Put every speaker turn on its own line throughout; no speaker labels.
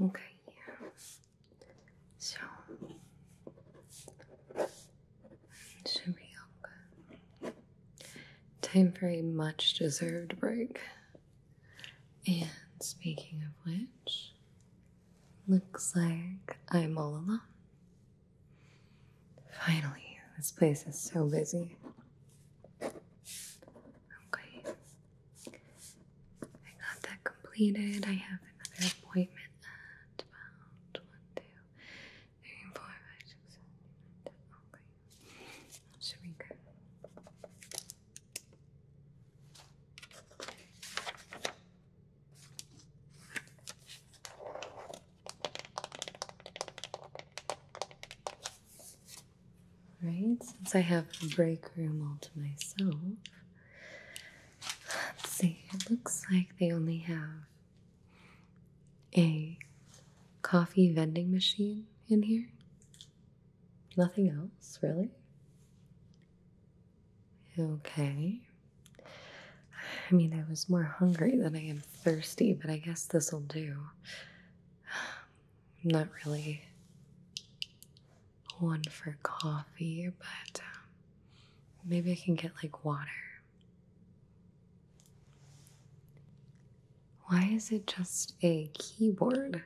Okay, so
should be good. Time for a much deserved break. And speaking of which, looks like I'm all alone. Finally, this place is so busy. Okay. I got that completed. I have another appointment at about 1, Okay. I'll shrink. Right, since I have break room all to myself, let's see, it looks like they only have a coffee vending machine in here. Nothing else, really? Okay. I mean, I was more hungry than I am thirsty, but I guess this'll do. not really one for coffee, but um, maybe I can get like water. Why is it just a keyboard?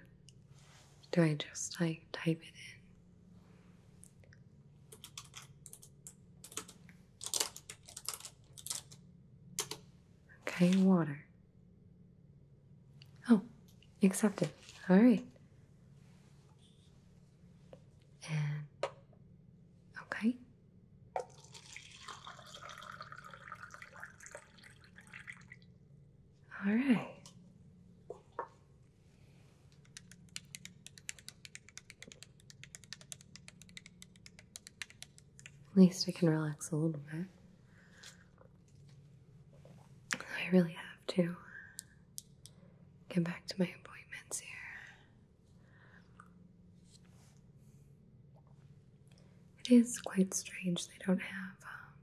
Do I just like type it in? Okay, water. Oh, accepted. All right. And okay. All right. At least I can relax a little bit. I really have to get back to my appointments here. It is quite strange they don't have um,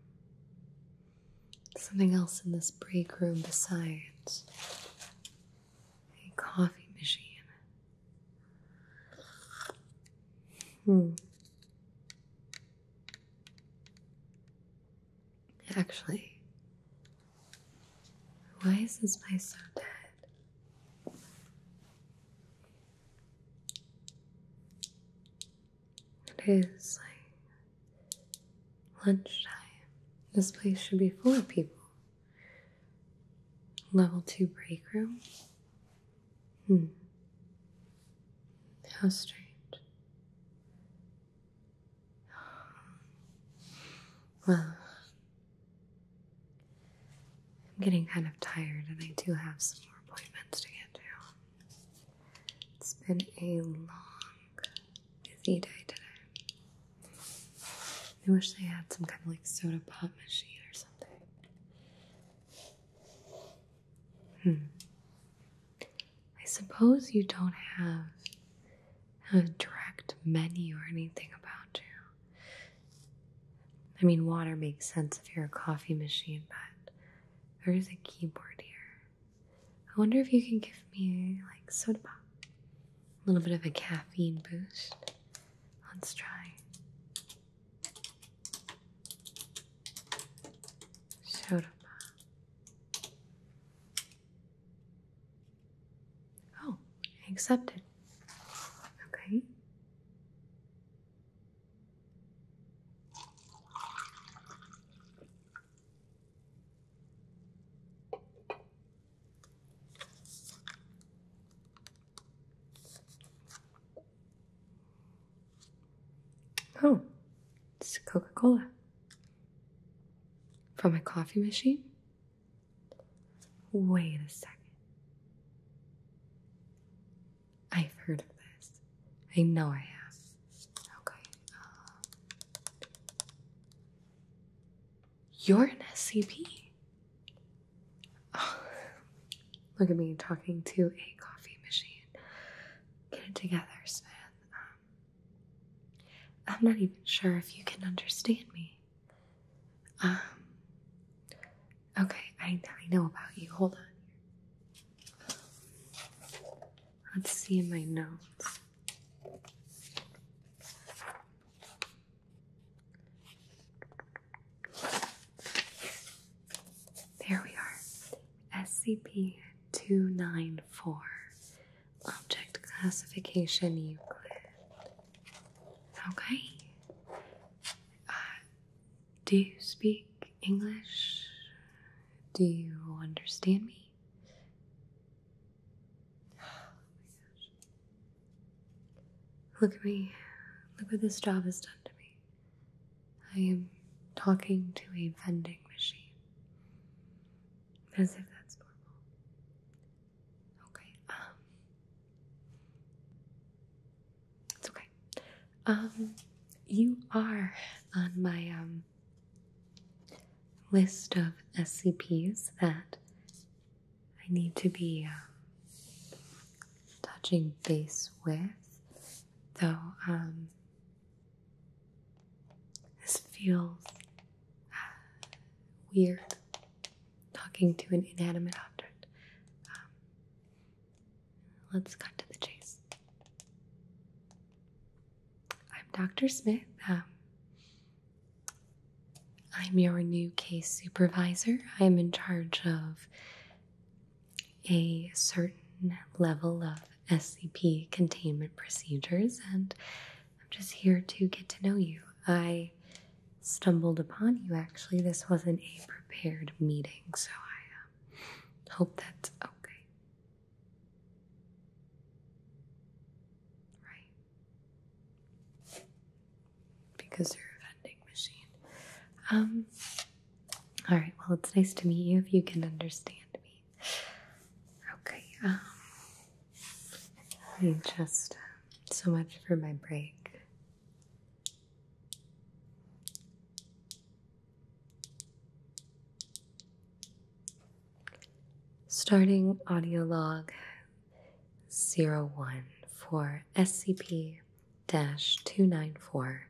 something else in this break room besides a coffee machine. Hmm. Actually, why is this place so dead? It is like lunchtime. This place should be full of people. Level 2 break room? Hmm. How strange. Well, I'm getting kind of tired, and I do have some more appointments to get to. It's been a long, busy day today. I wish they had some kind of like soda pop machine or something. Hmm. I suppose you don't have a direct menu or anything about you. I mean, water makes sense if you're a coffee machine, but there's a keyboard here. I wonder if you can give me, like, soda pop. A little bit of a caffeine boost. Let's try. Soda pop. Oh, I accepted. Okay. Oh, it's Coca Cola from my coffee machine. Wait a second. I've heard of this. I know I have. Okay. Uh, you're an SCP. look at me talking to a coffee machine. Get it together, Smith. Um, I'm not even sure if you can understand me. Um, Okay, I, I know about you. Hold on. Let's see in my notes. There we are. SCP 294. Object classification Euclid. Okay. Uh, do you speak English? Do you understand me? Look at me. Look what this job has done to me. I am talking to a vending machine. As if that's normal. Okay, um, it's okay. Um, you are on my um, list of SCPs that I need to be uh, touching base with, though um, this feels uh, weird talking to an inanimate object. Let's cut to the chase. I'm Dr. Smith. Um, I'm your new case supervisor. I am in charge of a certain level of SCP containment procedures, and I'm just here to get to know you. I stumbled upon you actually. This wasn't a prepared meeting, so I um, hope that's okay. Right. Because you're a vending machine. Um, alright, well, it's nice to meet you if you can understand me. Okay, um, I just uh, so much for my break. Starting audio log 01 for SCP 294.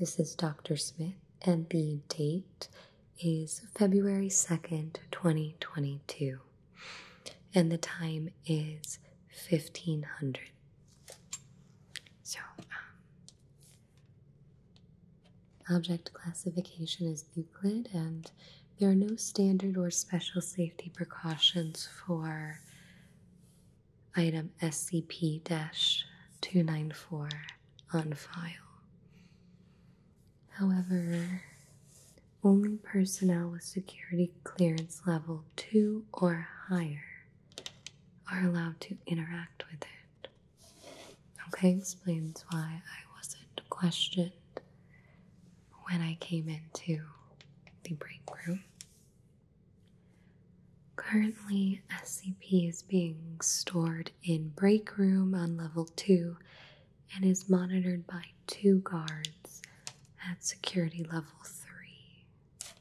This is Dr. Smith, and the date is February 2nd, 2022, and the time is 1500 so, um, object classification is Euclid, and there are no standard or special safety precautions for item SCP 294 on file. However, only personnel with security clearance level 2 or higher are allowed to interact with it. Okay, explains why I wasn't questioned when I came into the break room. Currently, SCP is being stored in break room on level 2 and is monitored by two guards at security level 3.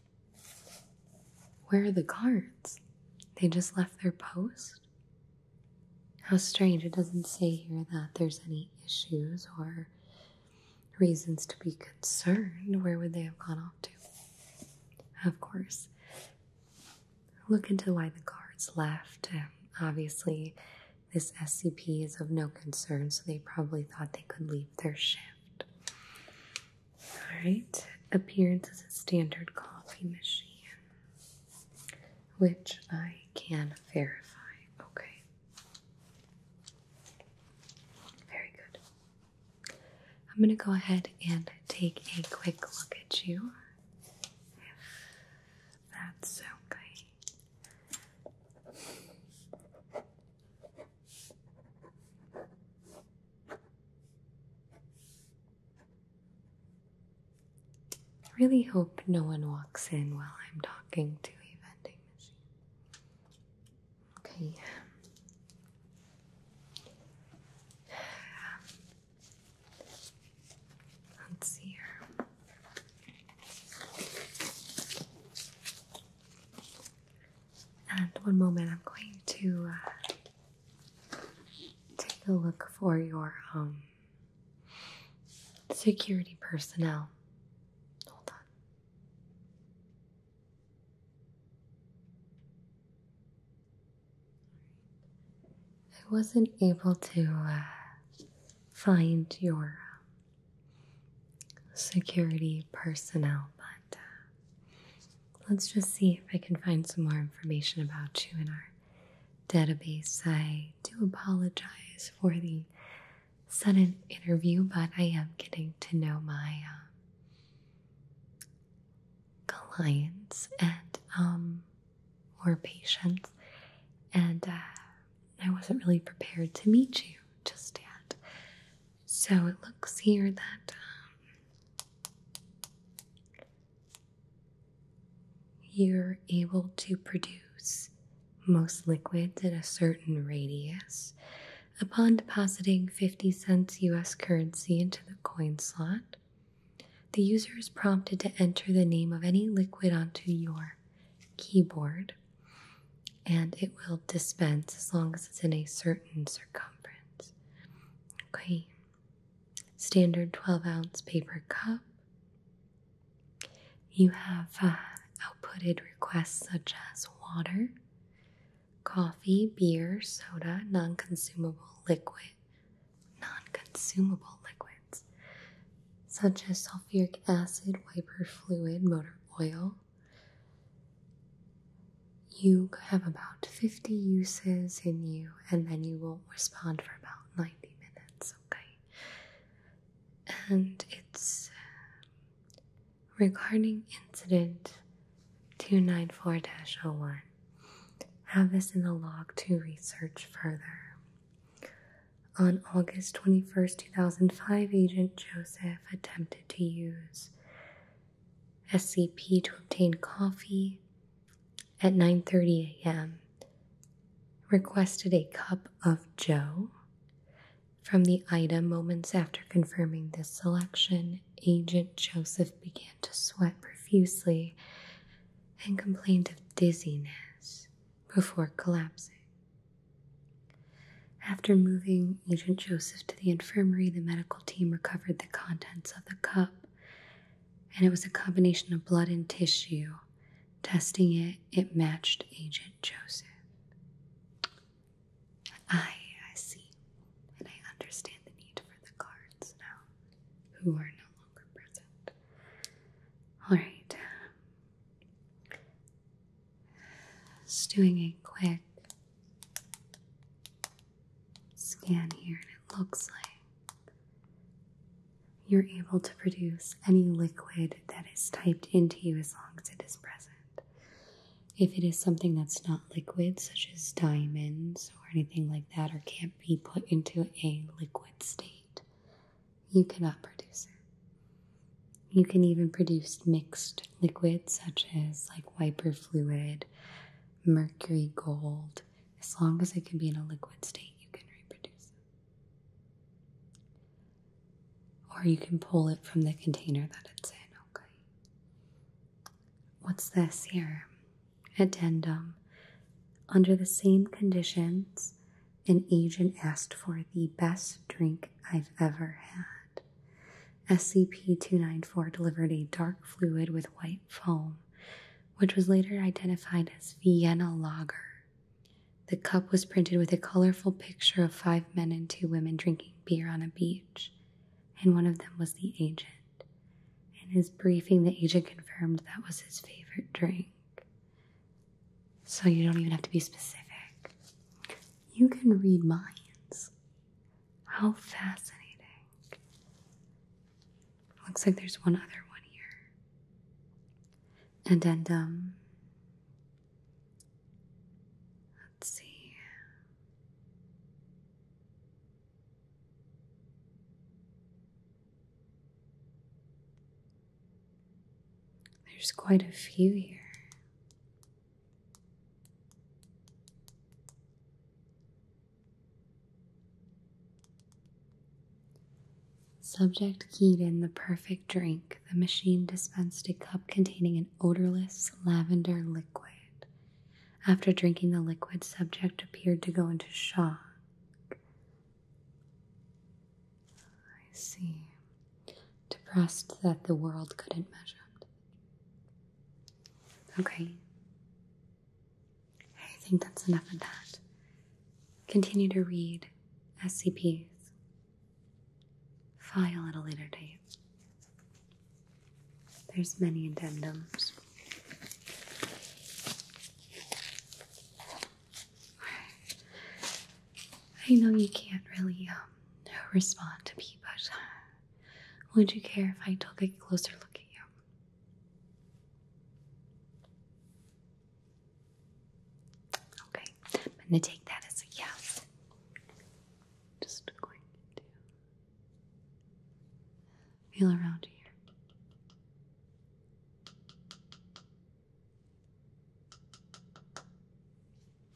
Where are the guards? They just left their post? How strange. It doesn't say here that there's any issues or reasons to be concerned. Where would they have gone off to? Of course. Look into why the guards left. Um, obviously, this SCP is of no concern, so they probably thought they could leave their shift. Alright, appearance is a standard coffee machine, which I can verify. Okay. Very good. I'm going to go ahead and take a quick look at you. If that's okay. I really hope no one walks in while I'm talking to a vending machine. Okay. Let's see here. And one moment, I'm going to uh, take a look for your um, security personnel. Hold on. I wasn't able to uh, find your um, security personnel, but uh, let's just see if I can find some more information about you in our database. I do apologize for the sudden interview, but I am getting to know my um, clients and um, or patients, and uh, I wasn't really prepared to meet you just yet. So it looks here that um, you're able to produce most liquids at a certain radius upon depositing 50 cents US currency into the coin slot. The user is prompted to enter the name of any liquid onto your keyboard and it will dispense as long as it's in a certain circumference. Okay, standard 12 ounce paper cup. You have uh, outputted requests such as water, coffee, beer, soda, non consumable liquid, non consumable liquids, such as sulfuric acid, wiper fluid, motor oil, you have about 50 uses in you, and then you won't respond for about 90 minutes, okay? And it's um, regarding incident 294 01. Have this in the log to research further. On August twenty first, 2005, Agent Joseph attempted to use SCP to obtain coffee at 9:30 a.m. Requested a cup of Joe from the item moments after confirming this selection. Agent Joseph began to sweat profusely and complained of dizziness before collapsing. After moving Agent Joseph to the infirmary, the medical team recovered the contents of the cup, and it was a combination of blood and tissue. Testing it, it matched Agent Joseph. I, see, and I understand the need for the guards now, who are no longer present. All right. Just doing a quick scan here, and it looks like you're able to produce any liquid that is typed into you as long as it is present. If it is something that's not liquid, such as diamonds or anything like that, or can't be put into a liquid state, you cannot produce it. You can even produce mixed liquids such as like wiper fluid, mercury gold. As long as it can be in a liquid state, you can reproduce it. Or you can pull it from the container that it's in, okay? What's this here? Addendum. Under the same conditions, an agent asked for the best drink I've ever had. SCP-294 delivered a dark fluid with white foam, which was later identified as Vienna Lager. The cup was printed with a colorful picture of five men and two women drinking beer on a beach, and one of them was the agent. In his briefing, the agent confirmed that was his favorite drink. So you don't even have to be specific. You can read minds. How fascinating. Looks like there's one other one here. And and um let's see. There's quite a few here. Subject keyed in the perfect drink. The machine dispensed a cup containing an odorless lavender liquid. After drinking the liquid, subject appeared to go into shock. I see. Depressed that the world couldn't measure Okay. I think that's enough of that. Continue to read SCPs. File at a later date. There's many addendums. I know you can't really um, respond to me, but uh, would you care if I took a closer look at you? Okay, I'm gonna take that as a yes. Just going to feel around here.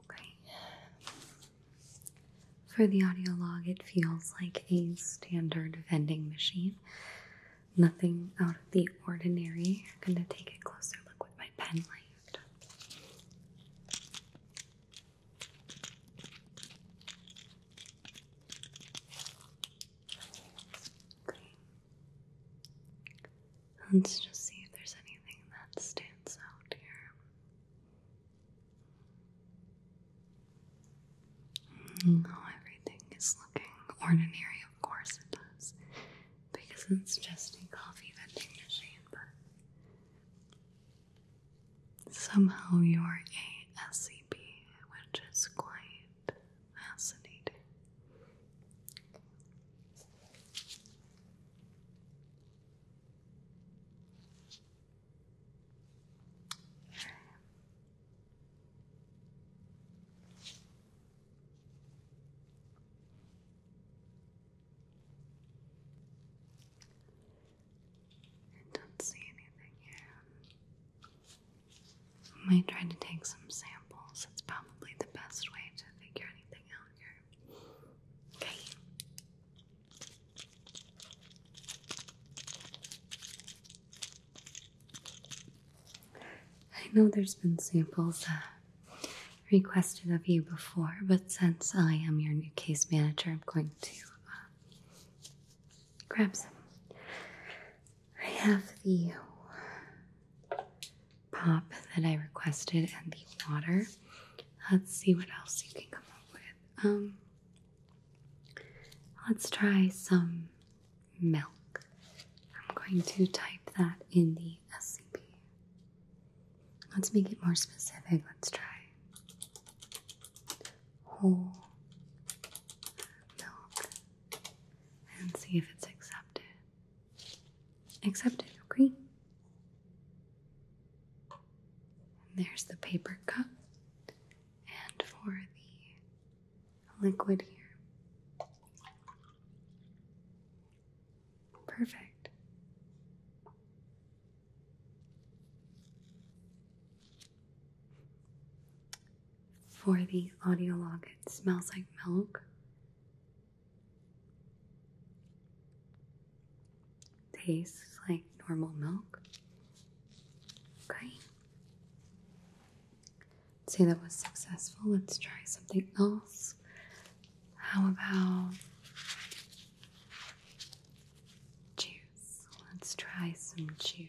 Okay. For the audio log, it feels like a standard vending machine. Nothing out of the ordinary. I'm going to take a closer look with my pen light. Let's just see if there's anything that stands out here. Oh, everything is looking ordinary, of course it does,
because it's just a coffee vending machine, but somehow you're a SCP, which is quite fascinating.
I don't see anything here. might try to take some samples. It's probably the best way to figure anything out here. Okay. I know there's been samples uh, requested of you before, but since I am your new case manager, I'm going to uh, grab some. I have the pop that I requested and the water. Let's see what else you can come up with. Um, let's try some milk. I'm going to type that in the SCP. Let's make it more specific. Let's try whole milk and see if it's accepted. Accepted, okay? there's the paper cup. And for the liquid here. Perfect. For the audio log, it smells like milk. Tastes like normal milk. Okay. say that was successful. Let's try something else. How about juice? Let's try some juice.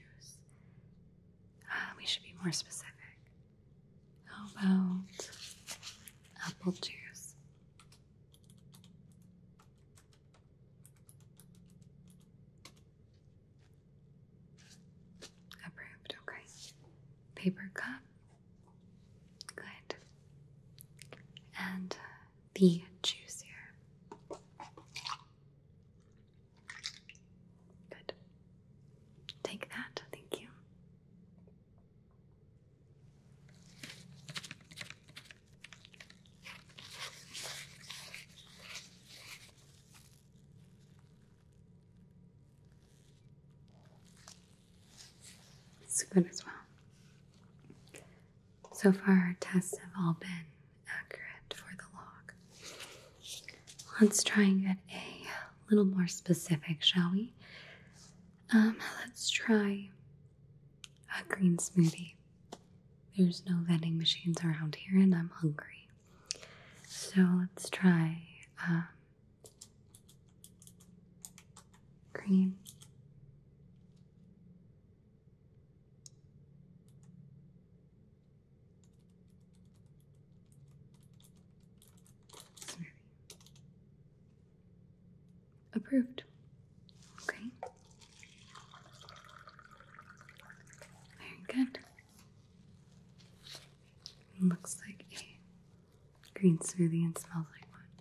Ah, we should be more specific. How about apple juice? Approved, okay. Paper cup. Good. And the juice here. Good. Take that, thank you. It's good as well. So far, our tests have all been accurate for the log. Let's try and get a a little more specific, shall we? Um, let's try a green smoothie. There's no vending machines around here, and I'm hungry. So let's try um, green. Approved. Okay. Very good. looks like a green smoothie and smells like one.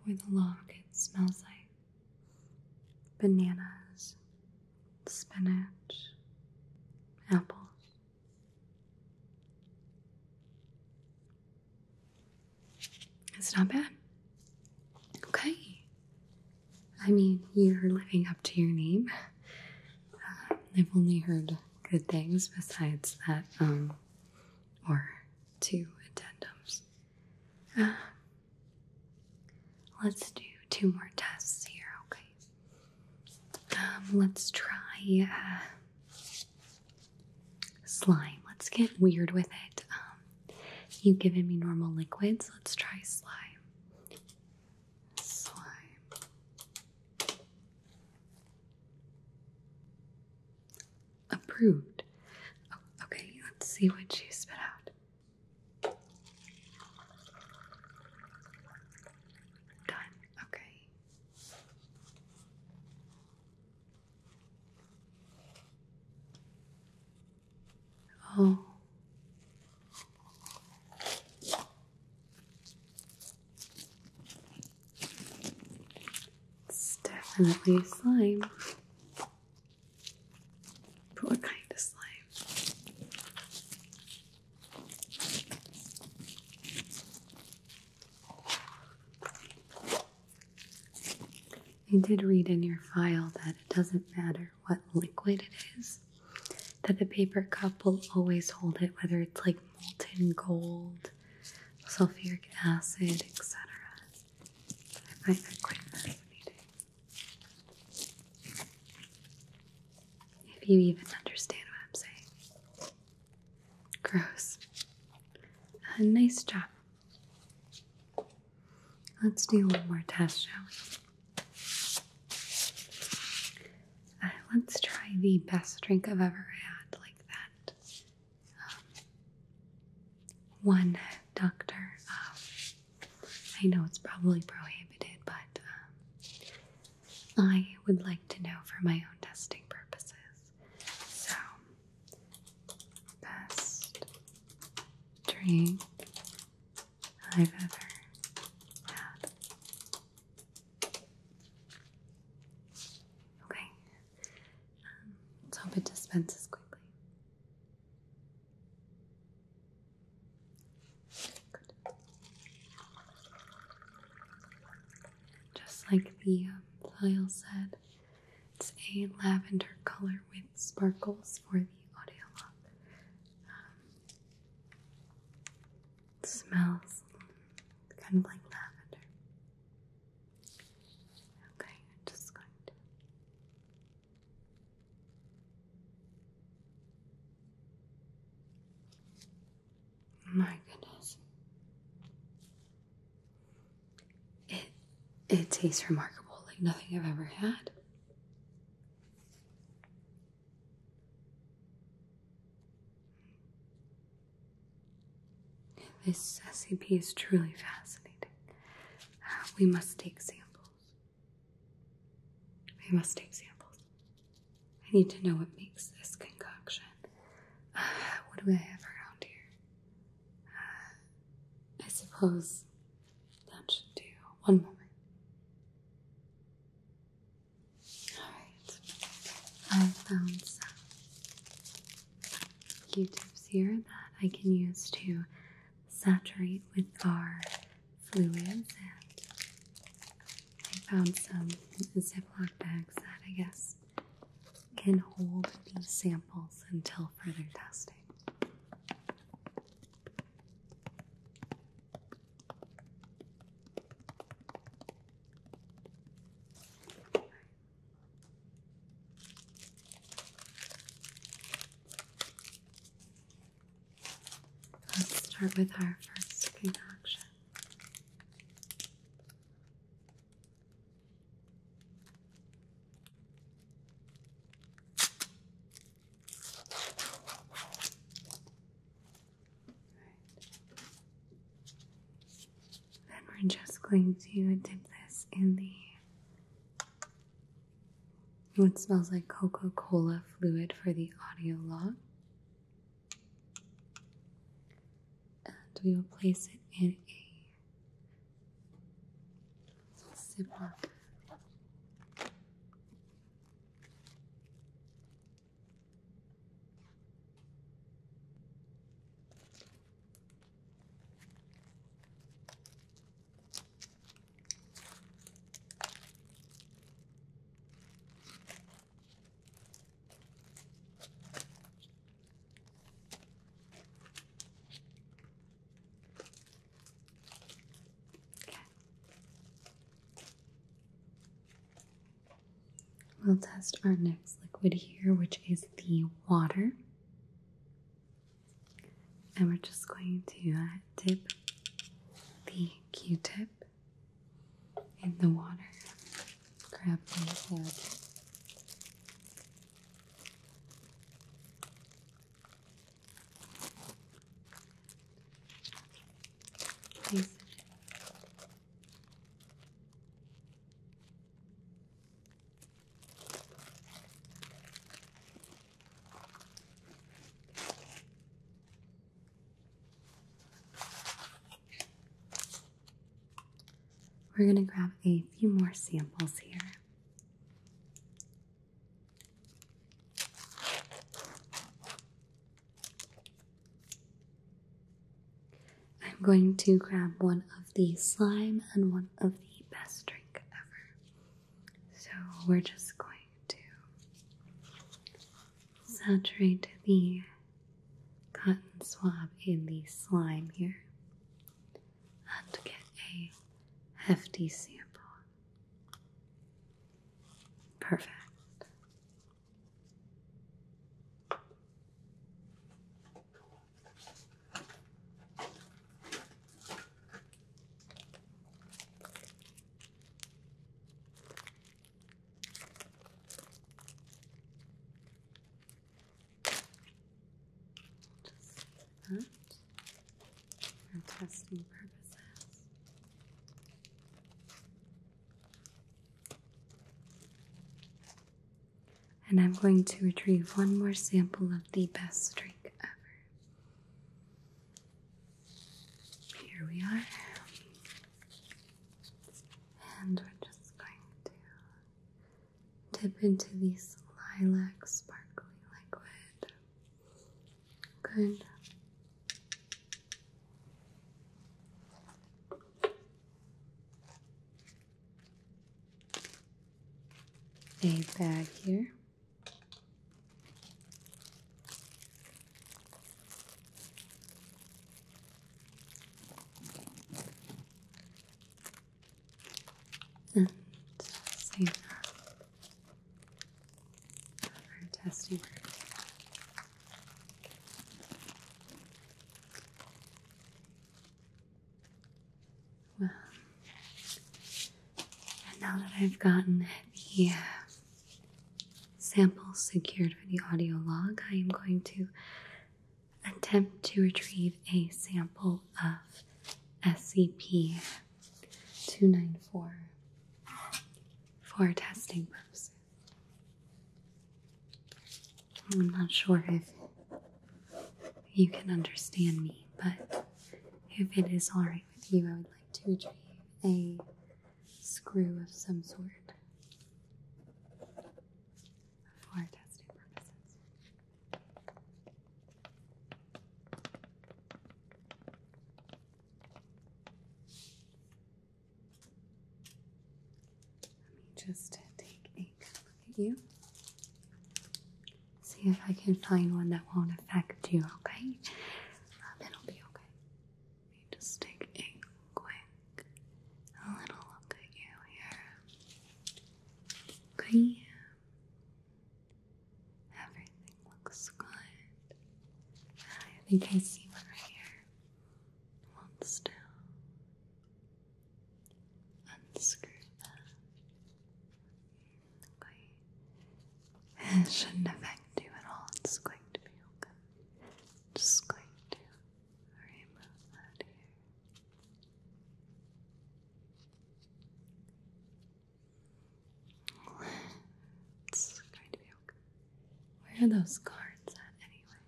For the log, it smells like bananas, spinach, apples, it's not bad. Okay. I mean, you're living up to your name. Uh, I've only heard good things besides that, um, or two addendums. Uh, let's do two more tests here, okay? Um, let's try uh, slime. Let's get weird with it. Um, you've given me normal liquids. Let's try slime. Slime. Approved. okay, let's see what you spit out. Done. Okay. Oh. It's definitely slime. But what kind of slime? I did read in your file that it doesn't matter what liquid it is, that the paper cup will always hold it, whether it's like molten gold, sulfuric acid, etc. If you even understand what I'm saying. Gross. Uh, nice job. Let's do one more test, shall we? Uh, let's try the best drink I've ever had like that. Um, one doctor. Um, I know it's probably prohibited, but um, I would like to know for my own testing purposes. So, best drink I've ever had. Okay, um, let's hope it dispenses quickly. Just like the um, file said, it's a lavender color with sparkles for the audio lock. Um,
smells kind of like lavender. Okay, I'm just going to
my goodness. It it tastes remarkable like nothing I've ever had. This recipe is truly fascinating. Uh, we must take samples. I must take samples. I need to know what makes this concoction. Uh, what do I have around here? Uh, I suppose that should do. One more. Alright. I found some Q tips here that I can use to saturate with our fluids and I found some Ziploc bags that I guess can hold these samples until further testing. Let's start with our first concoction. Then we're just going to dip this in the what smells like Coca Cola fluid for the audio log. And we will place it in a zipper. We'll test our next liquid here, which is the water. And we're just going to uh, dip the Q tip in the water. Grab my head. Place we're going to grab a few more samples here. I'm going to grab one of the slime and one of the best drink ever. So we're just going to saturate the cotton swab in the slime here and get a hefty sample. Perfect. Just for testing purposes. And I'm going to retrieve one more sample of the best drink ever. Here we are. And we're just going to dip into this lilac sparkling liquid. Good. A bag here. And save for testing. Well, and now that I've gotten the uh, Sample secured for the audio log, I am going to attempt to retrieve a sample of SCP 294 for testing purposes. I'm not sure if you can understand me, but if it is alright with you, I would like to retrieve a screw of some sort for testing purposes. Let me just take a look at you. See if I can find one that won't affect you, okay? Um, uh, will be okay. Let me just take a quick a little look at you here. Okay. Everything looks good. I think I see one right here. Hold still.
Unscrew that. It shouldn't affect you at all. It's going to be okay. Just going to remove that
It's going to be okay. Where are those cards at anyway?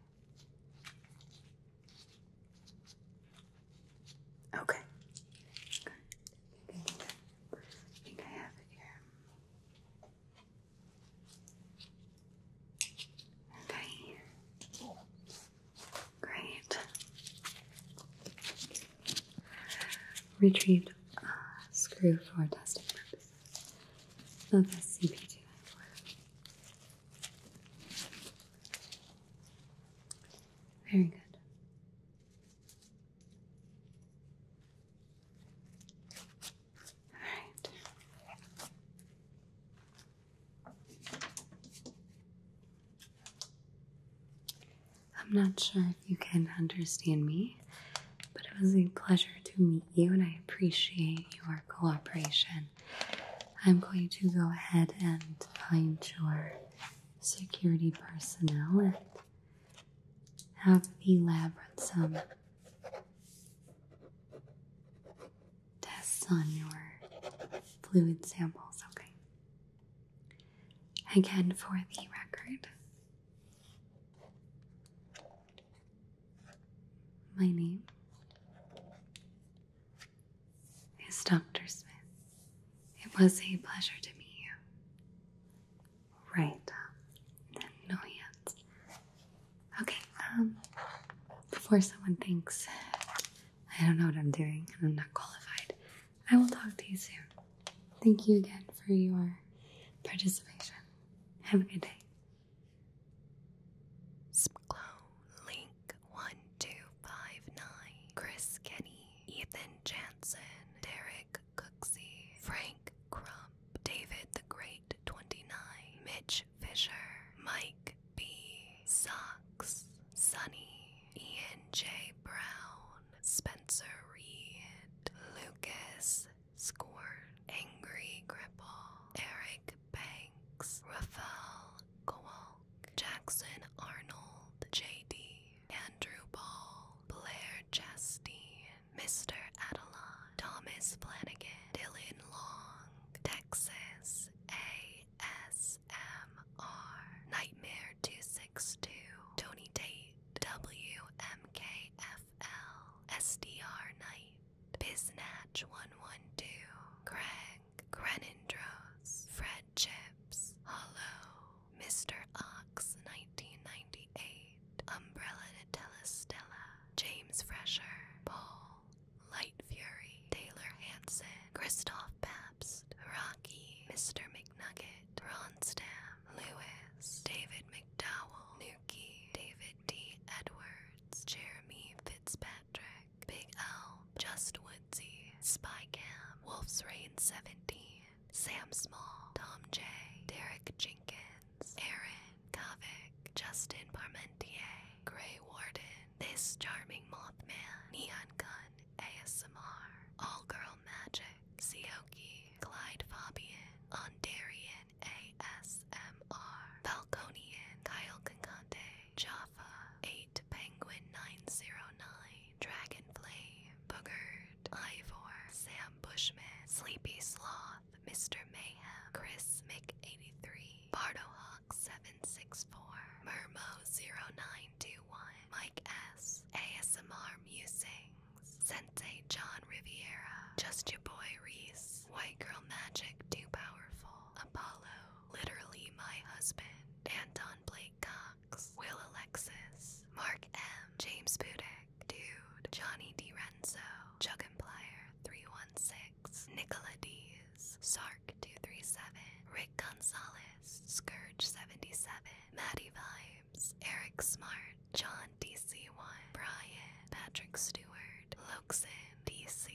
Okay. Good. I think I have it here. Okay. Great. Retrieved uh, screw for testing purposes. Of SCP-294. Very good right. I'm not sure if you can understand me, but it was a pleasure to meet you and I appreciate your cooperation. I'm going to go ahead and find your security personnel have the elaborate some tests on your fluid samples, okay? Again, for the record, my name is Dr. Smith. It was a pleasure to meet you. Right. No hands. Okay, um, before someone thinks I don't know what I'm doing and I'm not qualified, I will talk to you soon. Thank you again for your
participation. Have a good day. Splow, Link1259, Chris Kenny, Ethan Jansen, Derek Cooksey, Frank Crump, David the Great 29, Mitch Fisher, Mike B, Socks, Sunny, Ian J. Brown, Spencer Reed, Lucas Scorn, Angry Cripple, Eric Banks, Raphael Kowalk, Jackson Arnold, J.D., Andrew Ball, Blair Chastain, Mr. Adelon, Thomas Flanagan, Dylan Long, Texas ASMR, Nightmare 262, Tony Tate, WMKFL, SDR Biznatch112, Craig, Grenindros, Fred Chips, Hello. Mr. Ox 1998, Umbrella to Telestella, James Fresher, Paul, Light Fury, Taylor Hanson, Christoph Pabst, Rocky, Mr. McNugget, Ronstam, Lewis, David McDowell, Nuki, David D. Edwards, Jeremy Fitzpatrick, Big L, Just Woodsy, Spycam, Wolf's Reign 17, Sam Small, Tom J, Derek Jenkins, Aaron Kovic, Justin Parmentier, Gray Warden, This Charming Mothman, Neon Gun, ASMR, All Girl Magic, Sioki, Clyde Fabian, Ondarian ASMR, Falconian, Kyle Concante, Jaffa, 8 Penguin 909, Dragonfly, Boogerd, Ivor, Sam Bushman, Sleepy Sloth, Mr. Mayhem, Chris Mick83, BardoHawk764, Murmo0921, Mike S, ASMR Musings, Sensei John Riviera, Just Your Boy Reese, White Girl Magic Too Powerful, Apollo, Literally My Husband, Anton Blake Will Alexis, Mark M, James Budek, Dude, Johnny D. Renzo, and Juggenplier 316, Nicola D's, Sark237, Rick Gonzalez, Scourge77, Maddie Vibes, Eric Smart, John DC1, Brian, Patrick Stewart, Loxin, DC.